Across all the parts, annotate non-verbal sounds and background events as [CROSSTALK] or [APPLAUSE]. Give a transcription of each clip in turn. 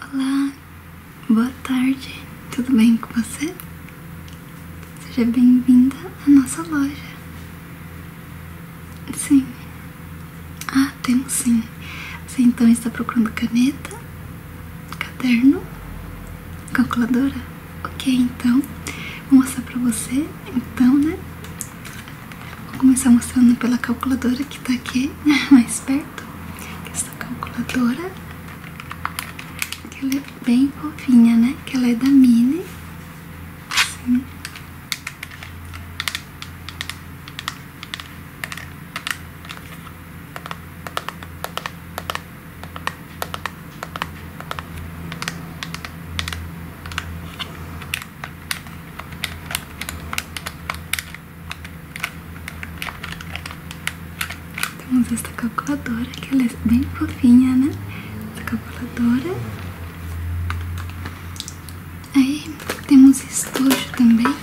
Olá, boa tarde, tudo bem com você? Seja bem-vinda à nossa loja. Sim. Ah, temos sim. Você então está procurando caneta, caderno, calculadora? Ok, então, vou mostrar pra você, então, né? Vou começar mostrando pela calculadora que tá aqui. [LAUGHS] mais perto, que essa calculadora, que ela é bem fofinha, né? Que ela é da Mini. Assim. Temos então, esta tá calculadora, que ela é bem fofinha, né? Tá calculadora. Aí temos estojo também,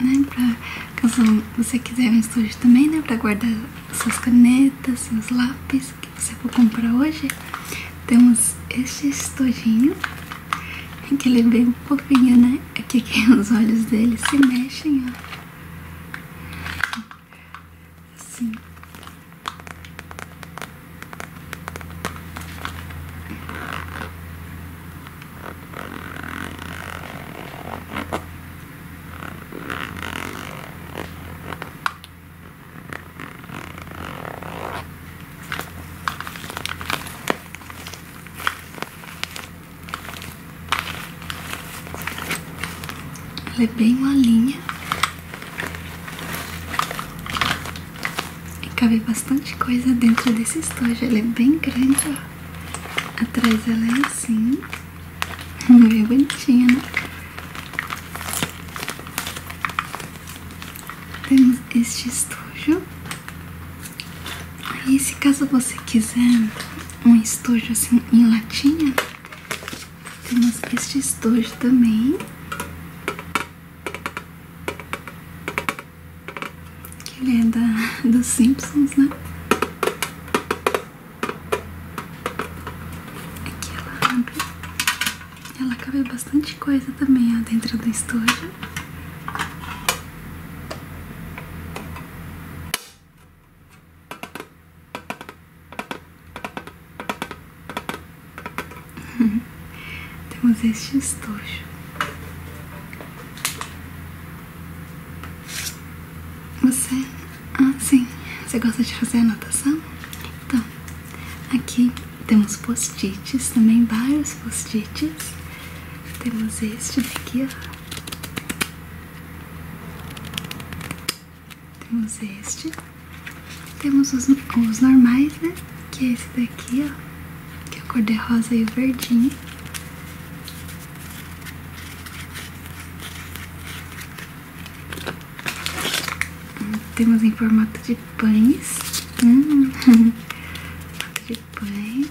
né? Pra, caso você quiser um estojo também, né? Pra guardar suas canetas, seus lápis que você for comprar hoje. Temos este estojinho é que ele veio um pouquinho, né? É que os olhos dele se mexem, ó. Assim. Ela é bem molinha. E cabe bastante coisa dentro desse estojo. Ela é bem grande, ó. Atrás é assim. ela é assim. Bem bonitinha, né? Temos este estojo Aí, se caso você quiser um estojo assim em latinha, temos este estojo também. Que ele é dos Simpsons, né? Aqui ela abre. Ela cabe bastante coisa também, dentro do estojo. [LAUGHS] Temos este estojo. Você. Ah, sim. Você gosta de fazer anotação? Então, aqui temos post-its também, vários post-its. Temos este daqui, ó. Temos este. Temos os, normais, né? Que é esse daqui, ó. Que é o cor de rosa e o verdinho. Temos em formato de pães. Hum. [LAUGHS] formato de depois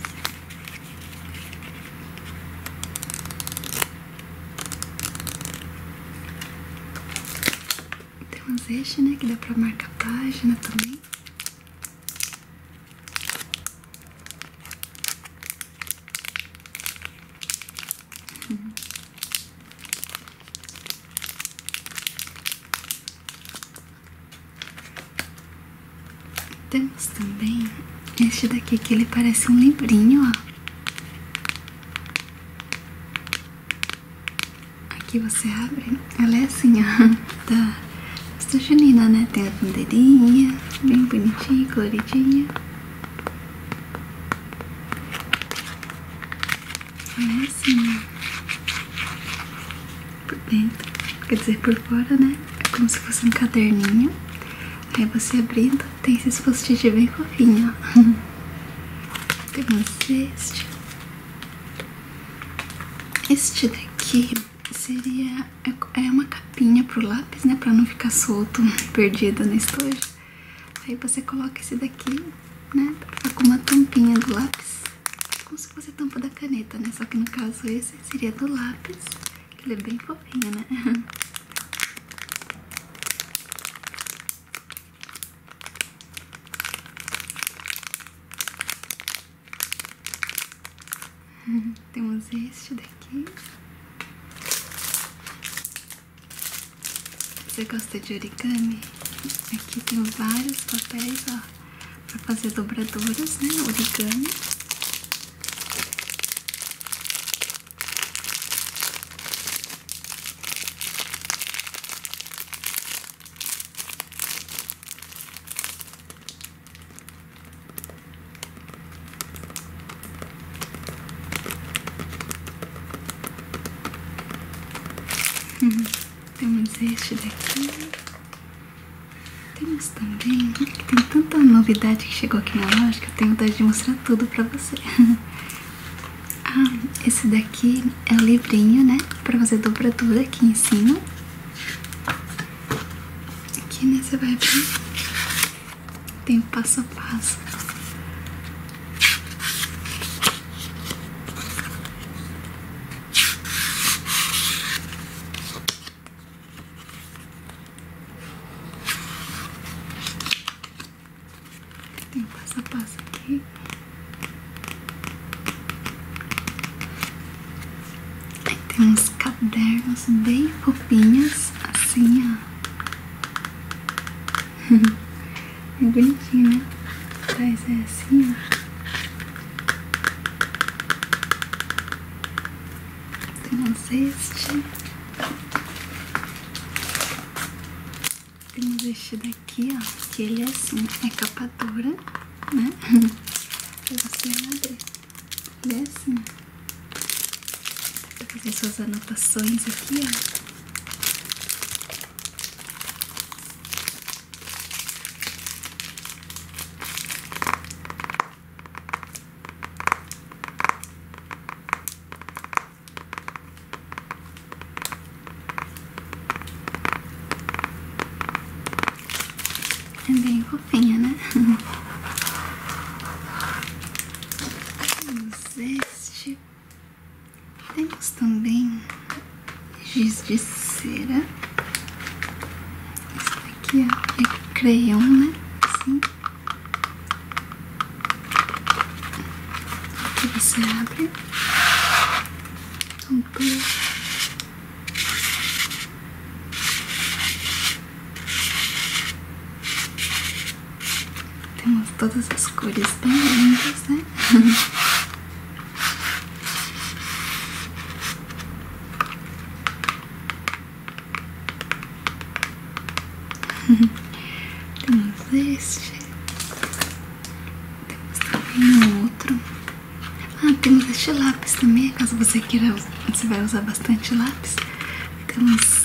tem umas eixos, né, que dá pra marcar a página também temos também este daqui que ele parece um livrinho, ó. Aqui você abre, ela é assim, ó, [LAUGHS] da festa junina, né? Tem a bandeirinha, bem bonitinha, coloridinha. Ela é assim, por dentro, quer dizer, por fora, né? É como se fosse um caderninho. Aí você abrindo, tem esses post-it bem fofinho, ó. [LAUGHS] Tem mais este Este daqui seria... É, é uma capinha pro lápis, né? Pra não ficar solto, perdido no estojo. Aí você coloca esse daqui, né? Pra tá ficar com uma tampinha do lápis se você a tampa da caneta, né? Só que no caso esse seria do lápis, que ele é bem fofinho, né? [LAUGHS] Temos este daqui. Você gosta de origami? Aqui tem vários papéis, ó para fazer dobraduras, né? Origami. Uhum. Temos este daqui. Temos também, tem tanta novidade que chegou aqui na loja que eu tenho vontade de mostrar tudo pra você. [LAUGHS] Ah, esse daqui é o livrinho, né? Pra fazer dobradura aqui em cima. Aqui, né? Você vai ver. Tem o passo a passo. Tem passo a passo aqui. tem uns cadernos bem fofinhos, assim, ó. [LAUGHS] É bonitinho, né? Atrás é assim, temos este. Temos este daqui, ó. Que ele é assim, é capa dura, né? [LAUGHS] pra você abrir. Ele é assim. Dá pra suas anotações aqui, ó. É bem fofinha, né? [LAUGHS] Temos este. Temos também giz de cera. Esse daqui é, é crayon, né? Assim. Aqui você abre. Um pouco. Então, tá. Temos todas as cores bem lindas, né? [LAUGHS] [LAUGHS] Temos este. Temos também um outro. Ah, temos este lápis também, caso você queira, você vai usar bastante lápis. Temos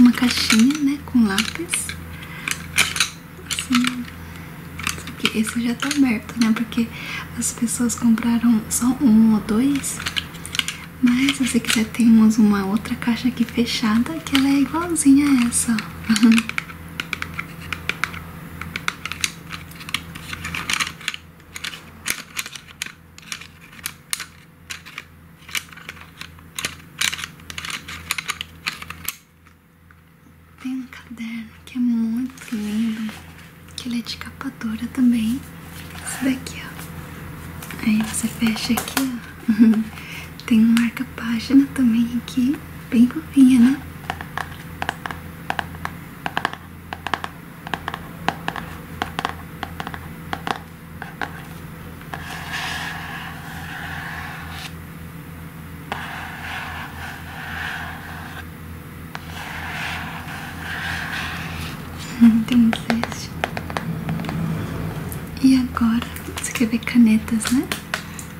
uma caixinha, né, com lápis. Assim. Aqui, esse já tá aberto, né? Porque as pessoas compraram só um ou dois. Mas se você quiser, temos uma outra caixa aqui fechada que ela é igualzinha a essa. [LAUGHS] Tem um caderno que é muito lindo, que ele é de capa dura também. Esse daqui, ó. Aí você fecha aqui, ó. [LAUGHS] Tem um marca-página também aqui, bem fofinha, né? temos este E agora, vamos escrever canetas, né?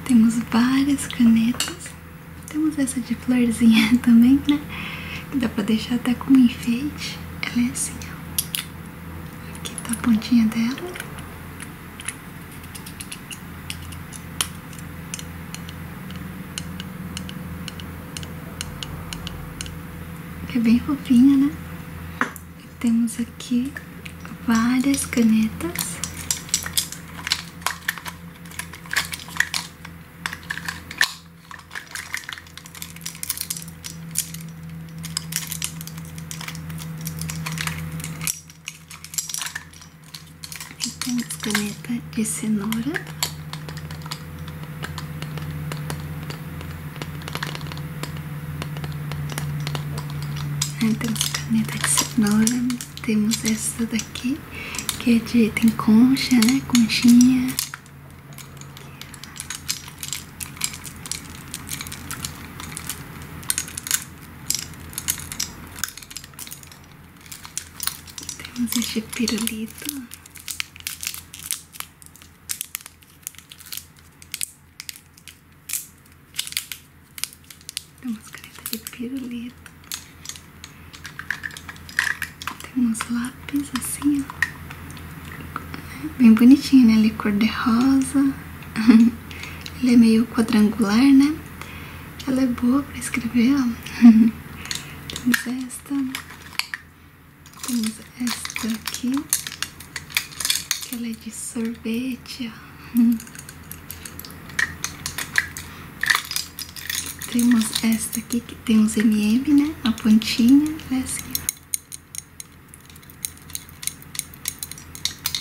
Temos várias canetas. Temos essa de florzinha [LAUGHS] também, né? Que dá pra deixar até como enfeite. Ela é assim, ó. Aqui tá a pontinha dela. É bem fofinha, né? temos aqui várias canetas. Temos caneta de cenoura. Então, temos caneta de cenoura. Temos essa daqui, que é de... tem concha, né? Conchinha. Temos este pirulito. Temos caneta de pirulito. Temos lápis assim, ó. Bem bonitinho, né? Ele é cor de rosa. [LAUGHS] Ele é meio quadrangular, né? Ela é boa para escrever, ó [LAUGHS] Temos esta. Né? Temos esta aqui. Que ela é de sorvete, ó. Temos esta aqui que tem os MM, né? A pontinha. Essa né? aqui.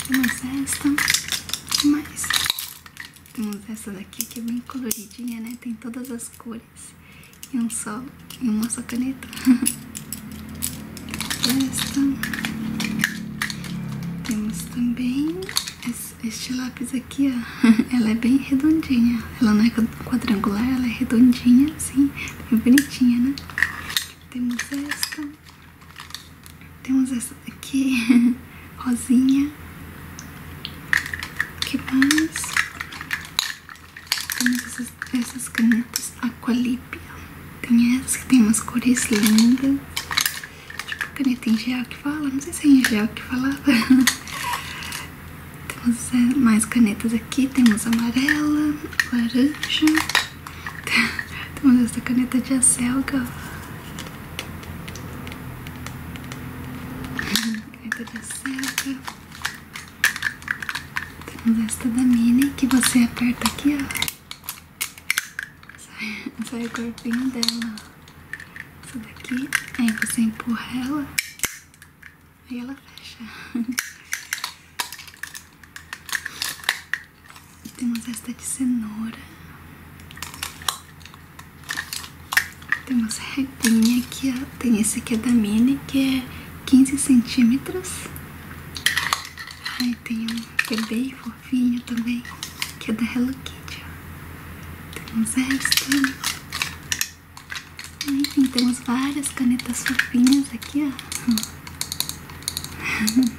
Temos esta. Mais. Temos essa daqui que é bem coloridinha, né? Tem todas as cores. E um só, e uma só caneta. [LAUGHS] esta. Temos também este lápis aqui, ó. [LAUGHS] Ela é bem redondinha. Ela não é quadrangular, ela é redondinha, assim. Bem bonitinha, né? Temos esta. Temos essa aqui, [LAUGHS] rosinha. Que mais? Temos essas, canetas Aqualipia. Tem essas que tem umas cores lindas. Tipo caneta em gel que fala, não sei se é em gel que falava. [LAUGHS] temos mais canetas aqui, temos amarela, laranja. [LAUGHS] Temos essa caneta de acelga Caneta de seta. Temos esta da Minnie, que você aperta aqui, ó. Sai, o corpinho dela, Essa daqui, aí você empurra ela, aí ela fecha. [LAUGHS] E temos esta de cenoura. Temos redinha aqui, ó. Tem esse aqui é da Mini, que é 15 centímetros. Aí tem um que é bem fofinho também, que é da Hello Kitty, ó. Temos esta. Enfim, temos várias canetas fofinhas aqui, ó. [LAUGHS]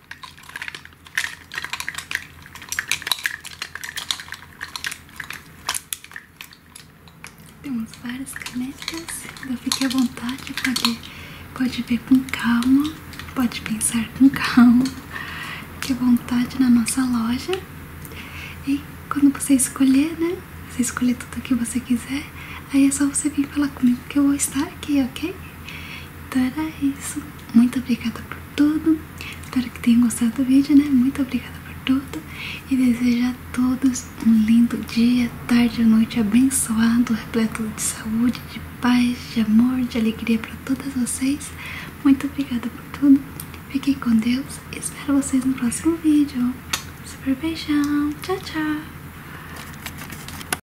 Temos várias canetas, então fique à vontade, pode, pode ver com calma, pode pensar com [LAUGHS] calma, fique à vontade na nossa loja. E quando você escolher, né? Você escolher tudo o que você quiser, aí é só você vir falar comigo que eu vou estar aqui, ok? Então era isso. Muito obrigada por tudo. Espero que tenham gostado do vídeo, né? Muito obrigada por tudo. E desejo a todos um lindo dia, tarde ou noite abençoado, repleto de saúde, de paz, de amor, de alegria para todas vocês. Muito obrigada por tudo. Fiquem com Deus. Espero vocês no próximo vídeo. Super beijão. Tchau, tchau.